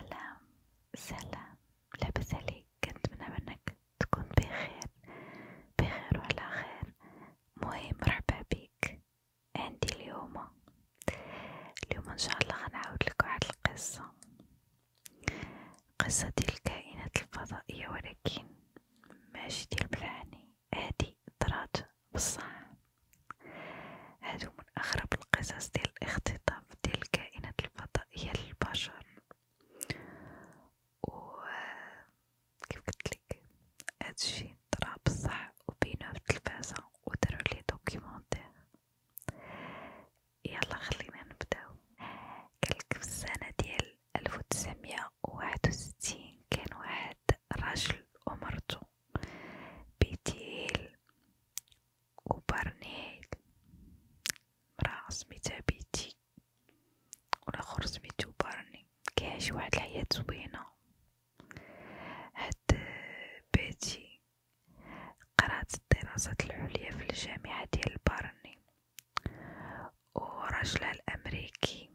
سلام سلام لاباس عليك كنتمنى منك تكون بخير بخير وعلى خير مهم مرحبا بك عندي اليوم اليوم ان الله غنعاود واحد القصه قصه ديال الكائنات الفضائيه ولكن ماشي ديال بلاني هادي طرات بصح هادو من اغرب القصص ديال الاختطاف دي الكائنات الفضائية للبشر و كيف قلتلك هادشي طرا بصح وبينو في التلفازة و دارولي دوكيمونتير يلا خلينا نبداو قالك في السنة ديال ألف وتسعميه وواحد وستين كان واحد راجل ومرتو بديل وبرنيل مرا سميتها بيتي والاخر سميتو بارني كيعيش واحد الحياة زوينة هاد بيتي قرات الدراسات العليا في الجامعة ديال بارني وراجلها الامريكي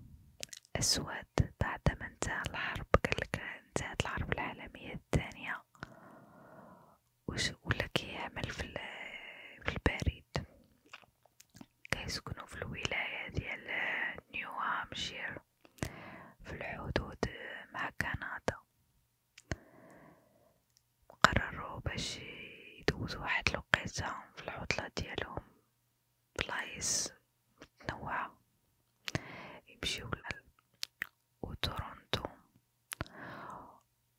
اسود بعد ما انتهى الحرب قالك انتهت الحرب العالمية الثانية وش لك يعمل في البريد كيسكنوا في الولاية ديال نيو هامشير في الحدود مع كندا قرروا باش يدوزوا واحد الوقيته في العطله ديالهم بلايص متنوعه يمشيو وتورونتو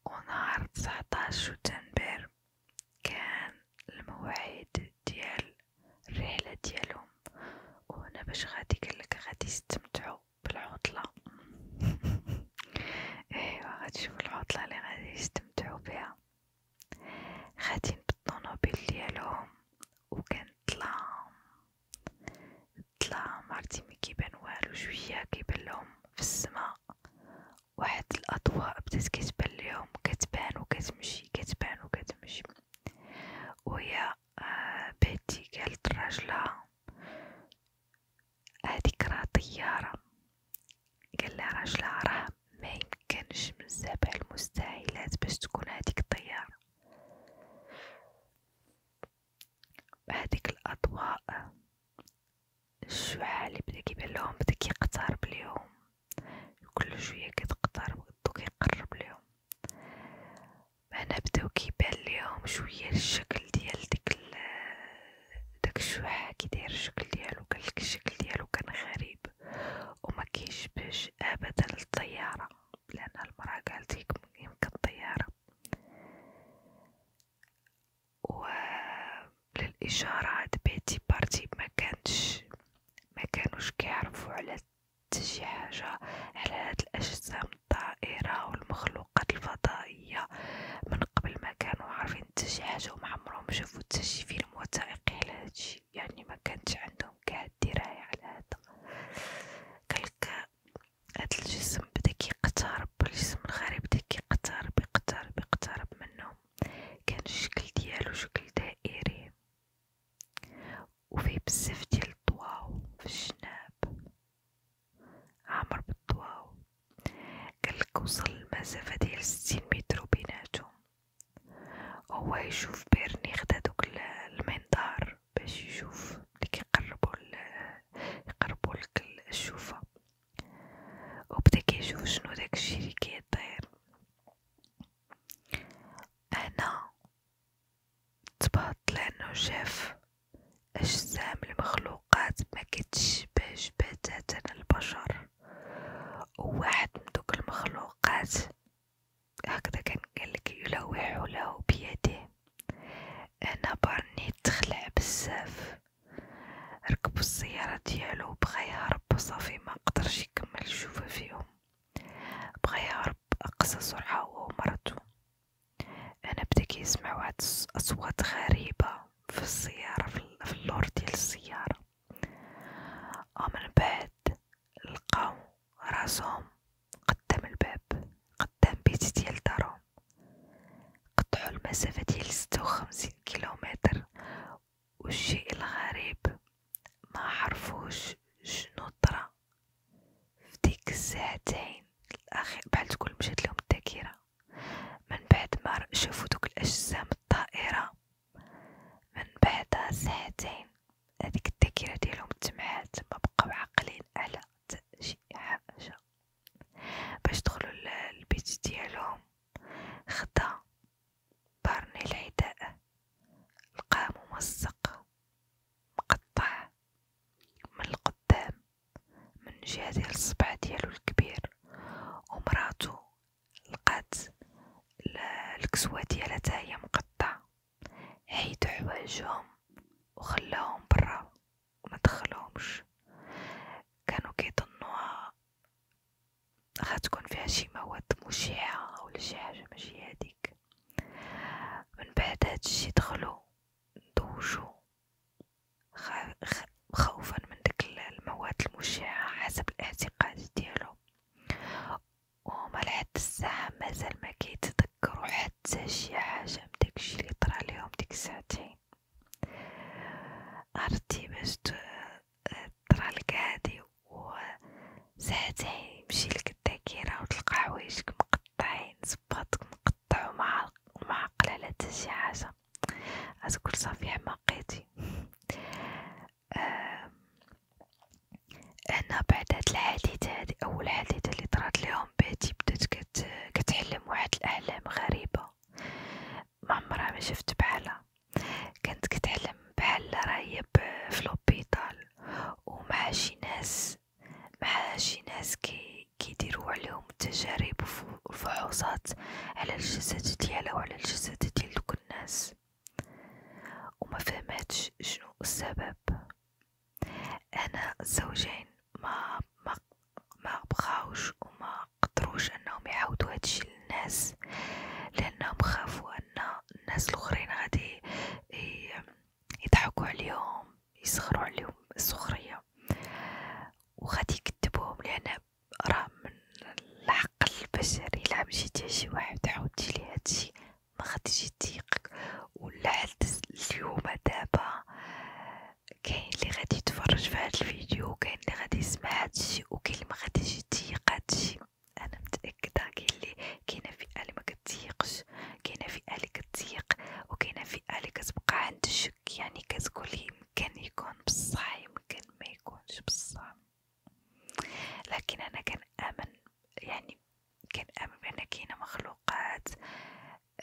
ونهار تسعتاش شتنبر كان الموعد ديال الرحلة ديالهم وهنا باش غادي قالك غادي يستمتعوا بالعطلة ايوا غادي تشوفوا العطلة اللي غادي يستمتعوا بها غادي بالطونوبيل ديالهم وكان ظلام طلع مرتي مي كيبان والو شوية كيبان لهم في السماء واحد الأضواء بدات كتبان ليهم كتبان وكتمشي كتبان وكتمشي وهي آه، بيتي قالت لراجلها هاديك راه طيارة قالها راجلها راه ميمكنش من سبع المستحيلات باش تكون هاديك الطيارة بهذيك الأضواء الشعاع اللي بدا كيبان لهم بدا كيقترب ليهم كل شوية كتقترب و كيقرب ليهم هنا بداو كيبان ليهم شوية الشكل ديال ديك داك الشعاع كي الشكل ديالو كان الشكل ديالو كان غريب وما كيشبهش ابدا للطياره لان المراه قالت يمكن الطياره وللإشارات بيتي بارتي ما كانش ما كانوش كيعرفوا على تجي حاجة على هاد الأجسام الطائرة والمخلوقات الفضائية من قبل ما كانوا عارفين شي حاجة وما عمرهم شافوا شي فيلم وثائقي على هادشي يعني ما كانتش عندهم كاع الدراية على هذا كلك هاد الجسم بدا كيقترب الجسم الغريب بدا كيقترب يقترب يقترب منهم كان الشكل ديالو شكل دائري وفيه بزاف ديال الضواو في الجناب عامر بالضواو قالك وصل المسافة ديال ستين متر بيناتهم هو يشوف بيرني خدا دوك المنظار باش يشوف اللي كيقربو يقربوا لك الشوفه وبدا كيشوف شنو داكشي اللي كيطير هنا تبهط لانه شاف اجسام المخلوقات ما كتشبهش بتاتا البشر وواحد من دوك المخلوقات هكذا كان قالك يلوح له بيده هنا بارني تخلع بزاف ركبو السيارة ديالو بغا يهرب صافي ما قدرش يكمل الشوفة فيهم بغا يهرب اقصى سرعة هو ومرتو انا بدا كيسمع واحد اصوات غريبة في السيارة في اللور ديال السيارة ومن بعد لقاو راسهم قدام الباب قدام بيت ديال دارهم قطعو المسافة ديال ستة وخمسين كيلومتر والشيء الغريب ما عرفوش شنو طرا في ديك الساعتين الأخير بحال تكون مشات لهم الذاكرة من بعد ما شافو دوك الأجسام الطائرة من بعد ساعتين هاديك الذاكرة ديالهم تمحات ما بقاو عاقلين على شي حاجة باش دخلوا للبيت ديالهم خدا بارني العداء لقاه ممزق مقطع من القدام من جهة ديال الصبع ديالو الكبير ومراتو لقات الكسوة ديالها تاهي مقطعة حيدو حوايجهم وخلاهم برا وما دخلهمش كانوا كيظنوها غتكون فيها شي مواد مشعة أو شي حاجة ماشي هاديك من بعد هادشي دخلو دوشو خوفا من ديك المواد المشعة حسب الاعتقاد ديالو وهما لحد الساعة مازال ما كيتذكروا حتى شي حاجة من داكشي اللي طرا ليهم ديك الساعتين أرضي باش طرالك هادي و ساعتين مشيلك الذاكرة وتلقى حوايجك مقطعين صباطك مقطع ومع معقل على تا شي حاجة غتقول صافي حماقيتي انا بعد هاد الحادثة هادي اول حادثة اللي طرات ليهم بهتي بدات كتحلم واحد الاحلام غريبة صعيبة ما شفت بحالها كنت كتعلم بحال راهي فلوبيطال ومع شي ناس مع شي ناس كي كيديرو عليهم تجارب وفحوصات على الجسد ديالها وعلى الجسد ديال دوك الناس وما فهمتش شنو السبب انا الزوجين ما ما ما بغاوش وما قدروش انهم يعاودوا هادشي للناس لانهم خافوا ان الناس الاخرين غادي يضحكوا عليهم يسخروا عليهم السخريه وغادي يكذبوهم لان راه من الحق البشري لا مشيتي شي واحد عاودتي ليه هادشي ما غاديش يضيقك ولا حتى اليوم دابا كاين اللي غادي يتفرج في هذا الفيديو وكاين اللي غادي يسمع هادشي وكاين اللي ما غاديش يتيق هادشي انا متاكده كاين اللي كاينه فئه اللي ما كتيقش كاينه فئه اللي كتيق وكاينه فئه اللي كتبقى عند الشك يعني كتقول يمكن يكون بصح يمكن ما يكونش بصح لكن انا كنامن يعني كنامن بان كاينه مخلوقات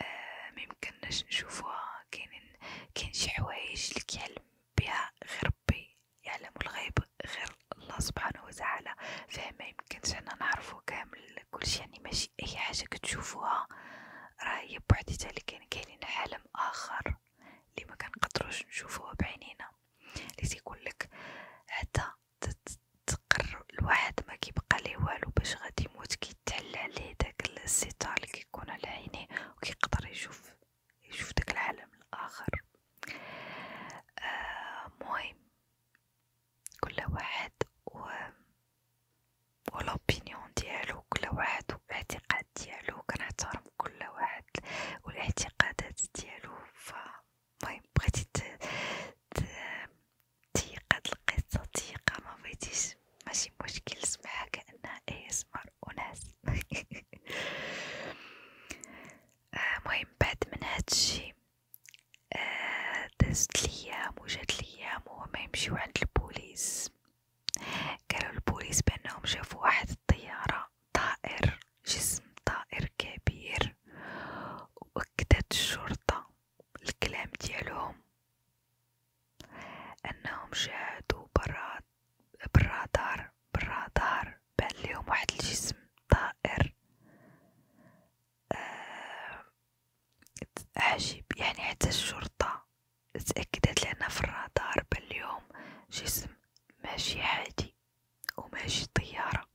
آه، ميمكناش نشوفوها كاينين كاين شي حوايج اللي كيعلم بها غير ربي يعلم الغيب غير الله سبحانه وتعالى فما يمكنش انا نعرفو كامل كلشي يعني ماشي اي حاجه كتشوفوها راه هي بوحديتها اللي كاين كاينين عالم اخر اللي ما كنقدروش نشوفوه بعينينا اللي تيقول لك حتى تقر الواحد ما كيبقى ليه والو باش غادي يموت كي كيتعلى عليه داك الستار اللي على عينيه وكيقدر يشوف يشوف داك العالم الاخر آه مهم كل واحد و ولوبينيون ديالو كل واحد والاعتقاد ديالو كنحترم كل واحد والاعتقادات ديالو فمهم بغيتي تيقاد القصه تيقه ما ماشي مشكل سمعها كأنها ASMR وناس آه، مهم بعد من هادشي آه، دازت ليام وجات ليام وهما يمشيو عند البوليس قالوا البوليس بأنهم شافوا واحد الطيارة طائر جسم طائر كبير وأكدت الشرطة الكلام ديالهم أنهم شاهدوا برا بالرادار بالرادار بان ليهم واحد الجسم طائر آه عجيب يعني حتى الشرطة تأكدت لنا في الرادار بان ليهم جسم ماشي عادي وماشي طيارة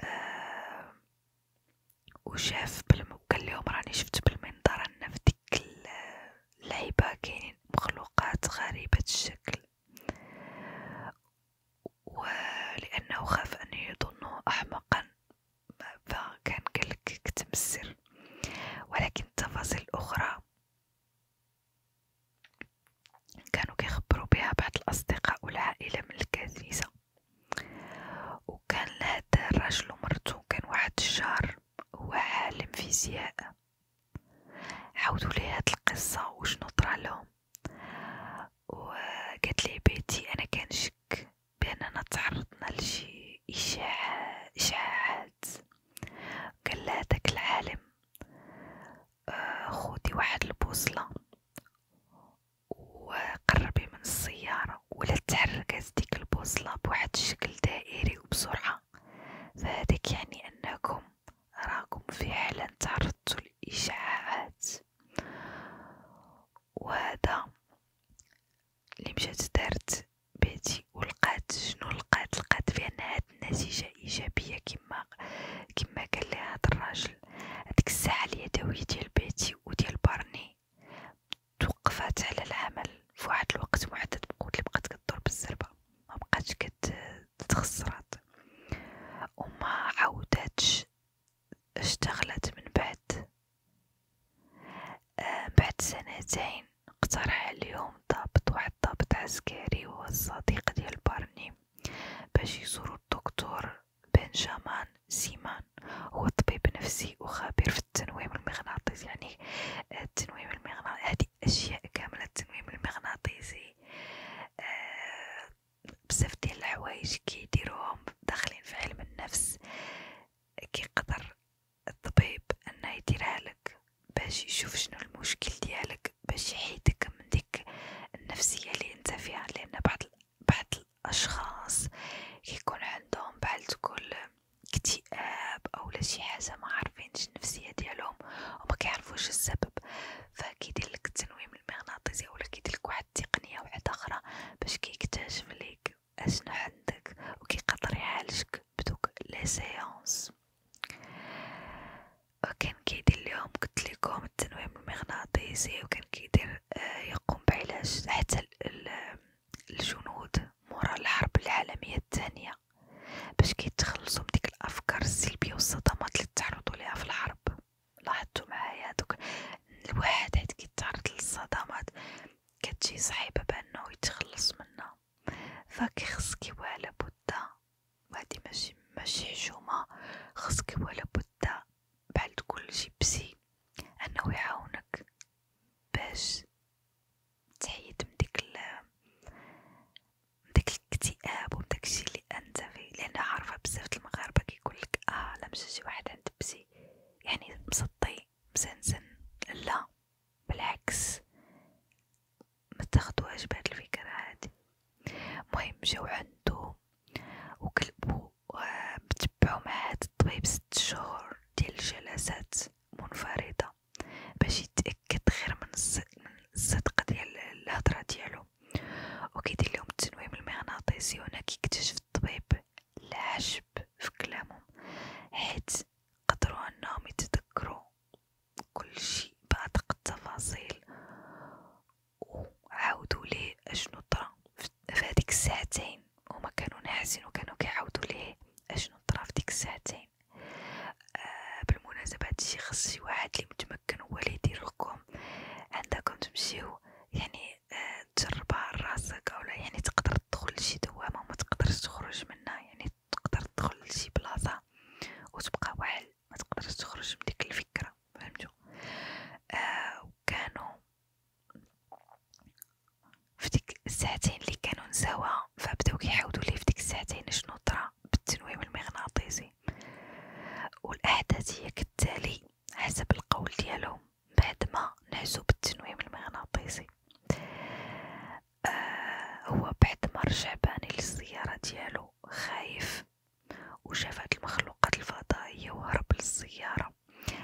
آه وشاف بالم... قال لهم راني شفت بالمنظر انا في ديك اللعبة كاينين مخلوقات غريبة الشكل ولأنه خاف أن يظنه أحمقا فكان قالك كتم السر ولكن التفاصيل الأخرى كانوا كيخبروا بها بعض الأصدقاء والعائلة من الكنيسة وكان لهذا الرجل ومرتو كان واحد الجار هو عالم فيزياء عاودوا لي هاد القصه وشنو طرالهم وقالت لي بيتي انا كنشك باننا تعرضنا لشي اشاعه اشاعات قال لها داك العالم آه، خدي واحد البوصله وقربي من السياره ولا تحركت ديك البوصلة بواحد الشكل دائري وبسرعة فهذاك يعني أنكم راكم فعلا تعرضتوا للإشعاعات وهذا اللي مشات دارت بيتي ولقات شنو لقات لقات بأن هاد النتيجة إيجابية كما كما قال هاد الراجل هاديك الساعة اليدوية ديال بيتي وديال بارني توقفات على العمل في واحد الوقت محدد بقوت اللي بقات كدور بالزربه ما بقاتش كتخسرات وما عاوداتش اشتغلت من بعد آه بعد سنتين اقترح اليوم ضابط واحد ضابط عسكري وهو الصديق ديال بارني باش يزورو الدكتور بنجامان سيمان هو طبيب نفسي وخبير في التنويم المغناطيسي يعني آه، التنويم المغناطيسي هذه أشياء كاملة التنويم المغناطيسي أه بزاف ديال الحوايج كيديروهم داخلين في علم النفس كيقدر الطبيب انه يديرها لك باش يشوف شنو المشكل ديالك باش يحيدك من ديك النفسيه اللي انت فيها لان بعض بعض الاشخاص كيكون عندهم بحال تقول اكتئاب او لا شي حاجه ما عارفينش النفسيه ديالهم وما كيعرفوش السبب فكيدير لك التنويم المغناطيسي ولا كيدير لك واحد التقنيه واحده اخرى باش كيكتشف ليك اشنو عندك وكيقدر يعالجك بدوك لي سيونس وكان كيدير ليهم قلت لكم التنويم المغناطيسي وكان كيدير آه، يقوم بعلاج حتى الجنود مورا الحرب العالمية الثانية باش كيتخلصوا من ديك الافكار السلبية والصدمات اللي تعرضوا ليها في الحرب لاحظتوا معايا دوك الواحد حيت كيتعرض للصدمات كتجي صعيبة بانه يتخلص منها فكيخصك ولا بدا وهادي ماشي ماشي حشومة خصك ولا بدا بحال تقول لجيبسي انه يعاونك باش تحيد من ديك من ديك الاكتئاب ومن داكشي اللي فيه لان عارفه بزاف المغاربه كيقولك اه لا شي واحد عند يعني مسطي مسنسن لا بالعكس ما بهاد الفكره هادي المهم جاو عندو وكلبو آه، متبعو مع هاد الطبيب ست شهور ديال الجلسات منفرده باش يتاكد غير من الصدق ديال الهضره ديالو وكيدير لهم التنويم المغناطيسي وهنا كيكتشف الطبيب العجب في حيت قدروا انهم يتذكروا كل بأدق التفاصيل وعاودوا ليه اشنو طرا في الساعتين ساعتين وما كانوا ناعسين وكانوا كيعاودوا ليه اشنو طرا في ديك الساعتين آه بالمناسبه هادشي خص شي واحد اللي متمكن هو اللي يدير لكم عندكم تمشيو يعني آه تجربها راسك اولا يعني تقدر تدخل لشي دوامه وما تقدرش تخرج منها يعني تقدر تدخل لشي بلاصه وتبقى واحد ما تقدرش تخرج من ديك الفكره فهمتوا آه وكانوا في ديك الساعتين اللي كانوا نساوها فبداو كيحاولوا لي في ديك الساعتين شنو طرا بالتنويم المغناطيسي والاحداث هي كالتالي حسب القول ديالهم بعد ما نعزو بالتنويم المغناطيسي آه هو بعد ما رجع باني للسياره ديالو خايف وشاف هاد المخلوقات الفضائيه وهرب للسياره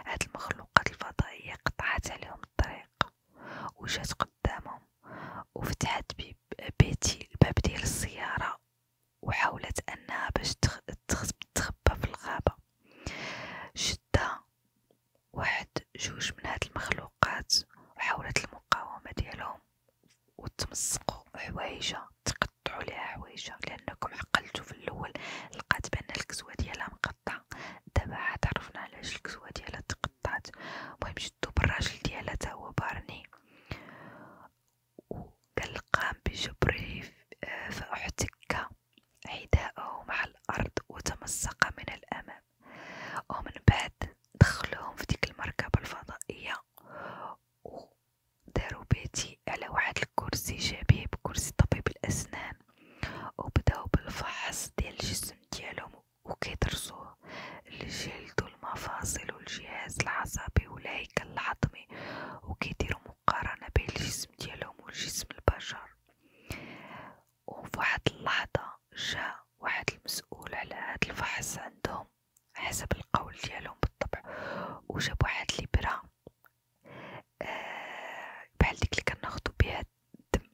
هاد المخلوقات الفضائيه قطعت عليهم الطريق وجات قدامهم وفتحت بيتي الباب ديال السيارة وحاولت أنها باش تخبى في الغابة شدة واحد جوج من هاد المخلوقات وحاولت المقاومة ديالهم وتمسقوا حوايجها تقطعوا ليها حوايجها لأنكم عقلتوا في الأول لقات بأن الكسوة ديالها تقطع دابا عاد عرفنا علاش الكسوة ديالها تقطعت المهم شدو بالراجل ديالها تا هو بارني وقال قام بجبره آه، فاحتك حذاءه مع الارض وتمزق من الامام ومن بعد دخلوهم في ديك المركبه الفضائيه وداروا بيتي على واحد الكرسي شبيه بكرسي طبيب الاسنان وبداو بالفحص ديال الجسم ديالهم وكيدرسوه الجلد والمفاصل والجهاز العصبي والهيكل العظمي وكيديروا مقارنة بين الجسم ديالهم والجسم البشر وفي واحد اللحظة جاء واحد المسؤول على هاد الفحص عندهم حسب القول ديالهم بالطبع وجاب واحد الابره آه بحال ديك اللي كناخدو بها القد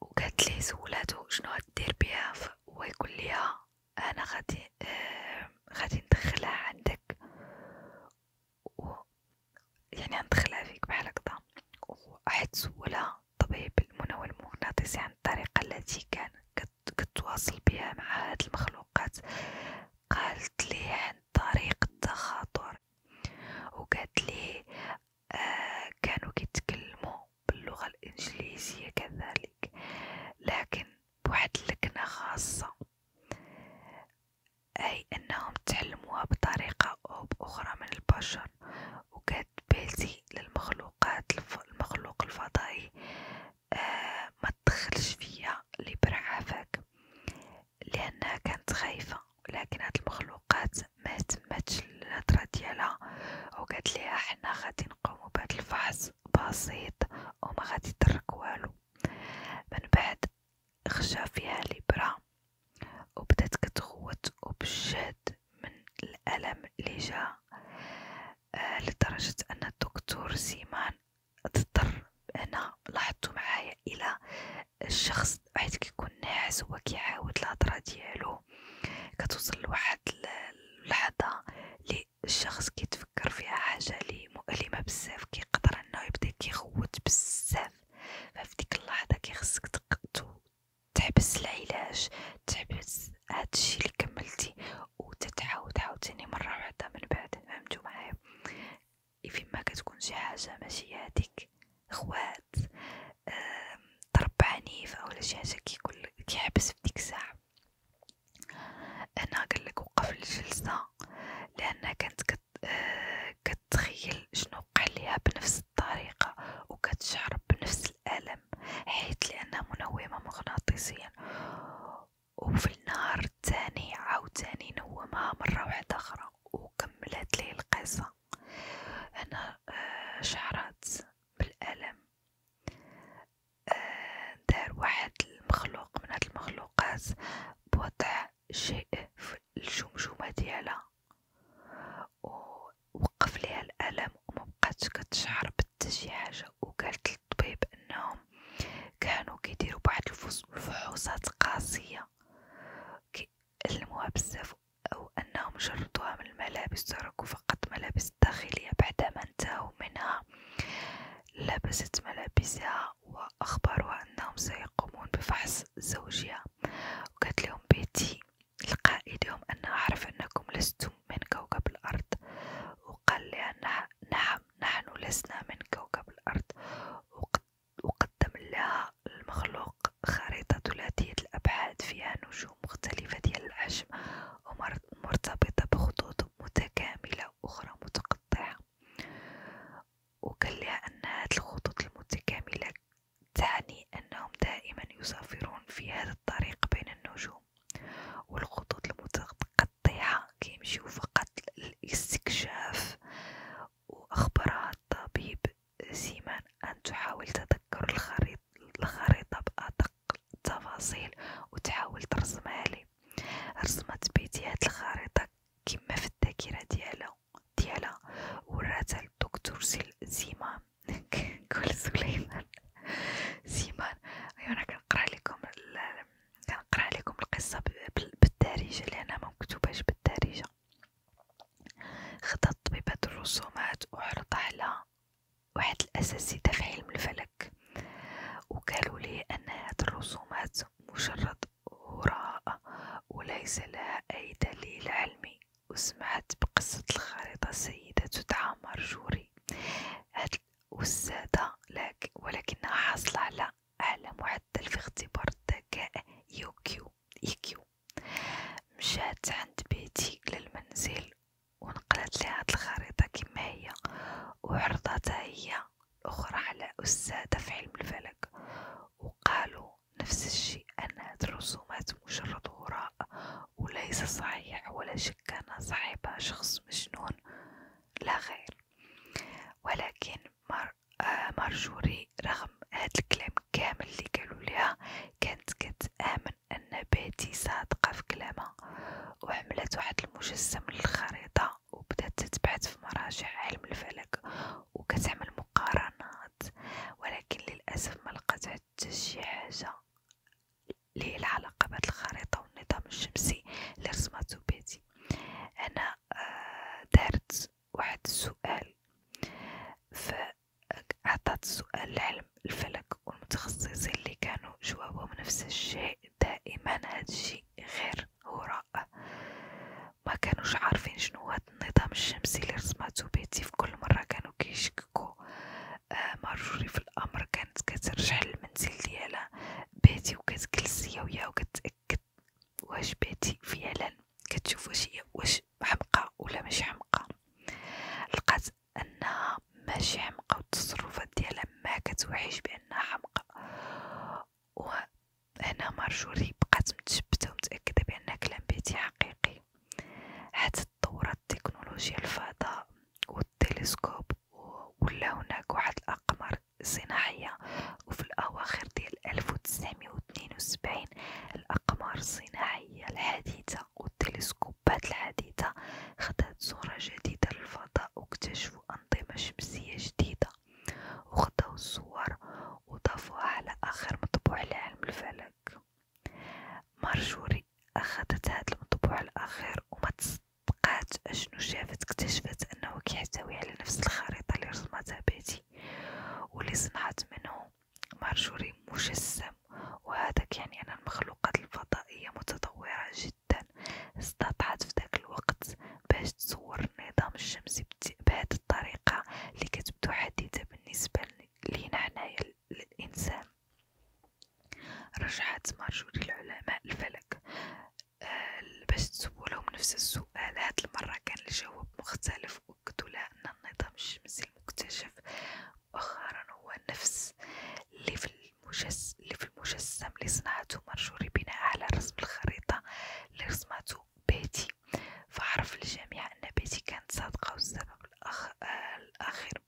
وقالت لي سولاتو شنو غدير بيها ويقول ليها آه، انا غادي آه غادي ندخلها عندك يعني ندخلها فيك بحال هكدا وحيت سولها الطبيب المنوى المغناطيسي عن الطريقه التي كان كتواصل بها مع هاد المخلوقات قالت لي عن طريق التخاطر وقالت لي آه كانوا كيتكلموا باللغه الانجليزيه كذلك لكن بواحد اللكنه خاصه اي انهم تعلموها بطريقه او باخرى من البشر وكانت بالتي للمخلوقات المخلوق الفضائي آه ما تدخلش فيا اللي برعافاك لأنها كانت خايفة ولكن هاد المخلوقات ما تمتش الهضرة ديالها وقالت ليها حنا غادي نقومو بهاد الفحص بسيط وما غادي يضرك والو من بعد خشا فيها الابرة وبدات كتغوت وبجهد من الالم اللي جا آه لدرجة ان الدكتور سيمان اضطر انا لاحظتو معايا الى الشخص حيت كيكون ناعس هو كيعاود الهضره ديالو كتوصل لواحد اللحظه لي الشخص كيتفكر فيها حاجه لي مؤلمه بزاف كيقدر انه يبدا كيغوت بزاف ففي ديك اللحظه كيخصك تحبس العلاج تحبس هادشي اللي كملتي وتتعاود عاوتاني مره واحده من بعد فهمتوا معايا فيما كتكون شي حاجه ماشي هاديك خوات ضرب عنيف ولا شي حاجه كيقول كيحبس في الساعه انا قال وقف الجلسه لانها كانت كت آه، كتخيل شنو وقع ليها بنفس الطريقه وكتشعر بنفس الالم حيت لانها منومه مغناطيسيا وفي النهار الثاني عاوتاني نومها مره واحده اخرى وكملت ليه القصه أنا آه، شعرت بالألم آه، دار واحد المخلوق من هاد المخلوقات بوضع شيء في الجمجمة ديالها ووقف ليها الألم ومبقاتش كتشعر بتا شي حاجة وقالت للطبيب أنهم كانوا كيديروا بعض الفحوصات قاسية كيألموها بزاف أو أنهم شردوها من الملابس تركوا فقط ملابس داخلية بعدما انتهوا منها لبست ملابسها وأخبروها أنهم سيقومون بفحص زوجها وقالت لهم بيتي لقائدهم أنا أعرف أنكم لستم من كوكب الأرض وقال لها نعم نحن لسنا من كوكب الأرض وقد وقدم لها المخلوق خريطة ثلاثية الأبعاد فيها نجوم مختلفة ديال الحجم ومرتبطة بخطوط متكاملة وأخرى متقطعة وقال لها أن هذه الخطوط المتكاملة تعني أنهم دائما يسافرون في هذا الطريق بين النجوم والخطوط المتقطعة كيمشيو فقط للاستكشاف وأخبرها الطبيب جيما أن تحاول تذكر الخريطة بأدق التفاصيل وتحاول ترسمها لي رسمت بيتي هاد الخريطة كما في الذاكرة ديالها ديالها وراتها للدكتور سيمان كل سليمان سيمان أيوة، أنا كنقرا لكم كنقرا لكم القصة بالدارجة لأنها مكتوباش بالدارجة خضت طبيبة الرسومات وعرض على واحد الأساتذة في علم الفلك وقالوا لي أن هاد الرسومات مجرد هراء وليس لها أي دليل علمي وسمعت بقصة الخريطة سيدة تدعى مرجوري هاد الأستاذة ولكنها حاصلة على أعلى معدل في اختبار الذكاء يو كيو مشات عند بيتي للمنزل ونقلت لي هاد الخريطة كما هي وعرضتها هي الأخرى على أستاذة في علم الفلك وقالوا نفس الشيء أن هاد الرسومات مجرد هراء وليس صحيح ولا شك كان صاحبها شخص مجنون لا غير ولكن آه، مارجوري رغم هاد الكلام كامل اللي قالوا ليها كانت كتآمن أن باتي صادقة في كلامها وحملت واحد المجسم للخريطة وبدات تتبحث في مراجع علم الفلك وكتعمل مقارنات ولكن للأسف ما لقات حتى شي حاجة ليه العلاقة بهاد الخريطة والنظام الشمسي اللي رسمته باتي أنا آه، دارت واحد السؤال في أعطت سؤال علم الفلك والمتخصصين اللي كانوا جوابهم نفس الشيء دائما هاد الشيء غير هراء ما كانوش عارفين شنو هاد النظام الشمسي اللي رسمته بيتي في كل مرة كانوا كيشككو آه مارجوري في الأمر كانت كترجع للمنزل ديالها بيتي وكتجلس هي وياه وكتأكد واش بيتي فعلا كتشوف واش هي واش حمقى ولا ماشي حمقى لقات انها ماشي حمقى والتصرفات ديالها ما كتوحيش بانها حمقى وهنا مارجوري بقات متشبته ومتاكده بان كلام بيتي حقيقي حتى تطورت تكنولوجيا الفضاء والتلسكوب ولا هناك واحد الاقمار صناعيه وفي الاواخر ديال عام 1972 الأقمار الصناعية الحديثة والتلسكوبات الحديثة خدات صورة جديدة للفضاء واكتشفوا أنظمة شمسية جديدة وخداو الصور وضافوها على آخر مطبوع لعلم الفلك مارجوري أخدت هذا المطبوع الأخير وما تصدقات أشنو شافت اكتشفت أنه كيحتوي على نفس الخريطة اللي رسمتها بيتي واللي صنعت منه مرجوري مجسم وهذا يعني أن المخلوقات الفضائية متطورة جدا استطاعت في ذاك الوقت باش تصور النظام الشمسي بهذه الطريقة اللي كتبدو حديثة بالنسبة لينا حنايا الإنسان رجحت مارجوري العلماء الفلك آه باش تسولهم نفس السؤال هاد المرة كان الجواب مختلف وقت لأن النظام الشمسي المكتشف مؤخرا هو نفس اللي في, المجس... اللي في المجسم اللي صنعته مارجوري بناء على رسم الخريطة اللي رسمته بيتي فعرف الجميع أن بيتي كانت صادقة والسبب الأخ... آه الأخير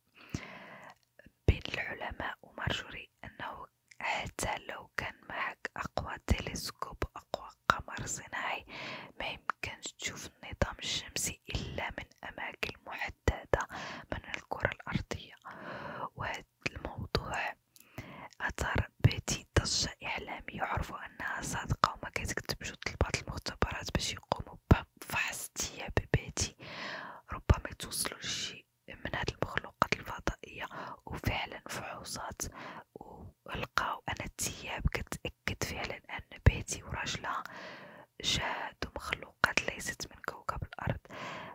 بين العلماء ومارجوري أنه حتى لو كان معك أقوى تلسكوب أقوى قمر صناعي ما يمكنش تشوف النظام الشمسي إلا من أماكن محددة من الكرة الأرضية وهذا الموضوع أثار بيتي ضجة إعلامية عرفوا أنها صادقة وما كتكتبش طلبات المختبرات باش يقوموا بفحص ببيتي ربما يتوصلوا لشي من هاد المخلوقات الفضائية وفعلا فحوصات و ولقاو أنا الثياب كتأكد فعلا أن بيتي وراجلها جاد ومخلوقات ليست من كوكب الأرض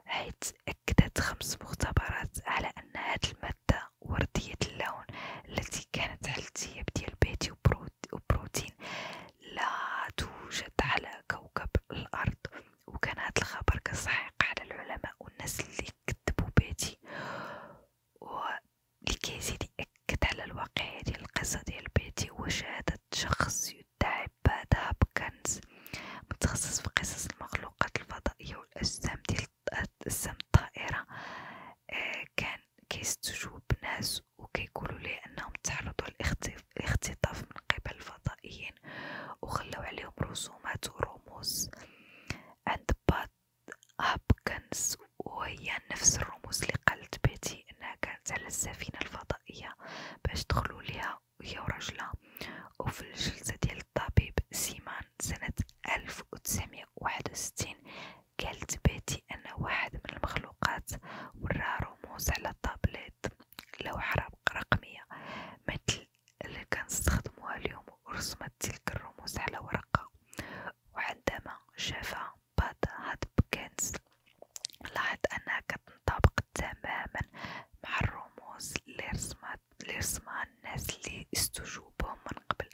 حيت أكدت خمس مختبرات على أن هاد المادة وردية اللون التي كانت على الثياب ديال بيتي وبروتين لا توجد على كوكب الأرض وكان هاد الخبر كصحيح على العلماء والناس اللي كتبوا بيتي لكي يزيد يأكد على الواقعية ديال القصة ديال بيتي هو شهادة شخص يدعي بهذا بكنز متخصص في قصص المخلوقات الفضائية والأجسام ديال أجسام الطائرة آه كان كيستجوب ناس وكيقولوا ليه أنهم تعرضوا للاختطاف من قبل الفضائيين وخلاو عليهم رسومات ورموز عند بعض أبكنز وهي نفس الرموز اللي قالت بيتي انها كانت على السفينة الفضائية باش دخلوا ليها هي ورجلها وفي الجلسة ديال الطبيب سيمان سنة ألف وتسعمية وواحد وستين قالت بيتي ان واحد من المخلوقات ورا رموز على طابلت لوحة رقمية مثل اللي كنستخدموها اليوم ورسمت تلك الرموز على ورقة وعندما شافها باطاحت بكنز لاحظ أنها كتنطابق تماما مع الرموز اللي رسمها الناس اللي استجوبهم من قبل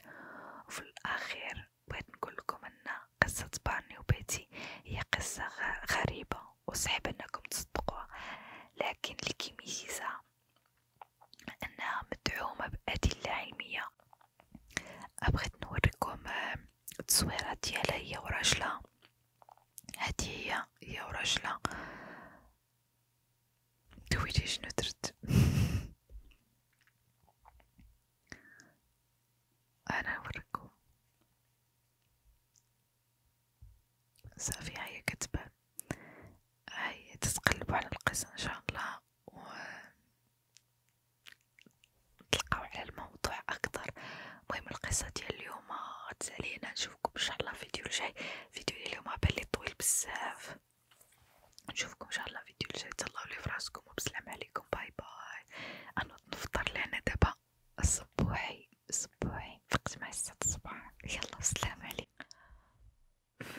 وفي الأخير بغيت نقولكم أن قصة بارني وبيتي هي قصة غريبة وصعب أنكم تصدقوها لكن اللي كيميزها أنها مدعومة بأدلة علمية أبغيت نوريكم التصويرات ديالها هي وراجلها هادي هي هي وراجلها دويتي شنو درت انا نوريكم صافي هيا كتبان هيا تتقلبوا على القصة ان شاء الله و نتلقاو على الموضوع اكثر المهم القصه ديال اليوم تسالينا نشوفكم ان شاء الله فيديو الجاي فيديو اليوم بالي طويل بزاف نشوفكم ان شاء الله فيديو الجاي تهلاو لي فراسكم وبسلام عليكم باي باي انا نفطر لهنا دابا الصبوحي الصبوحي فقت مع الساعه الصباح يلا السلام عليكم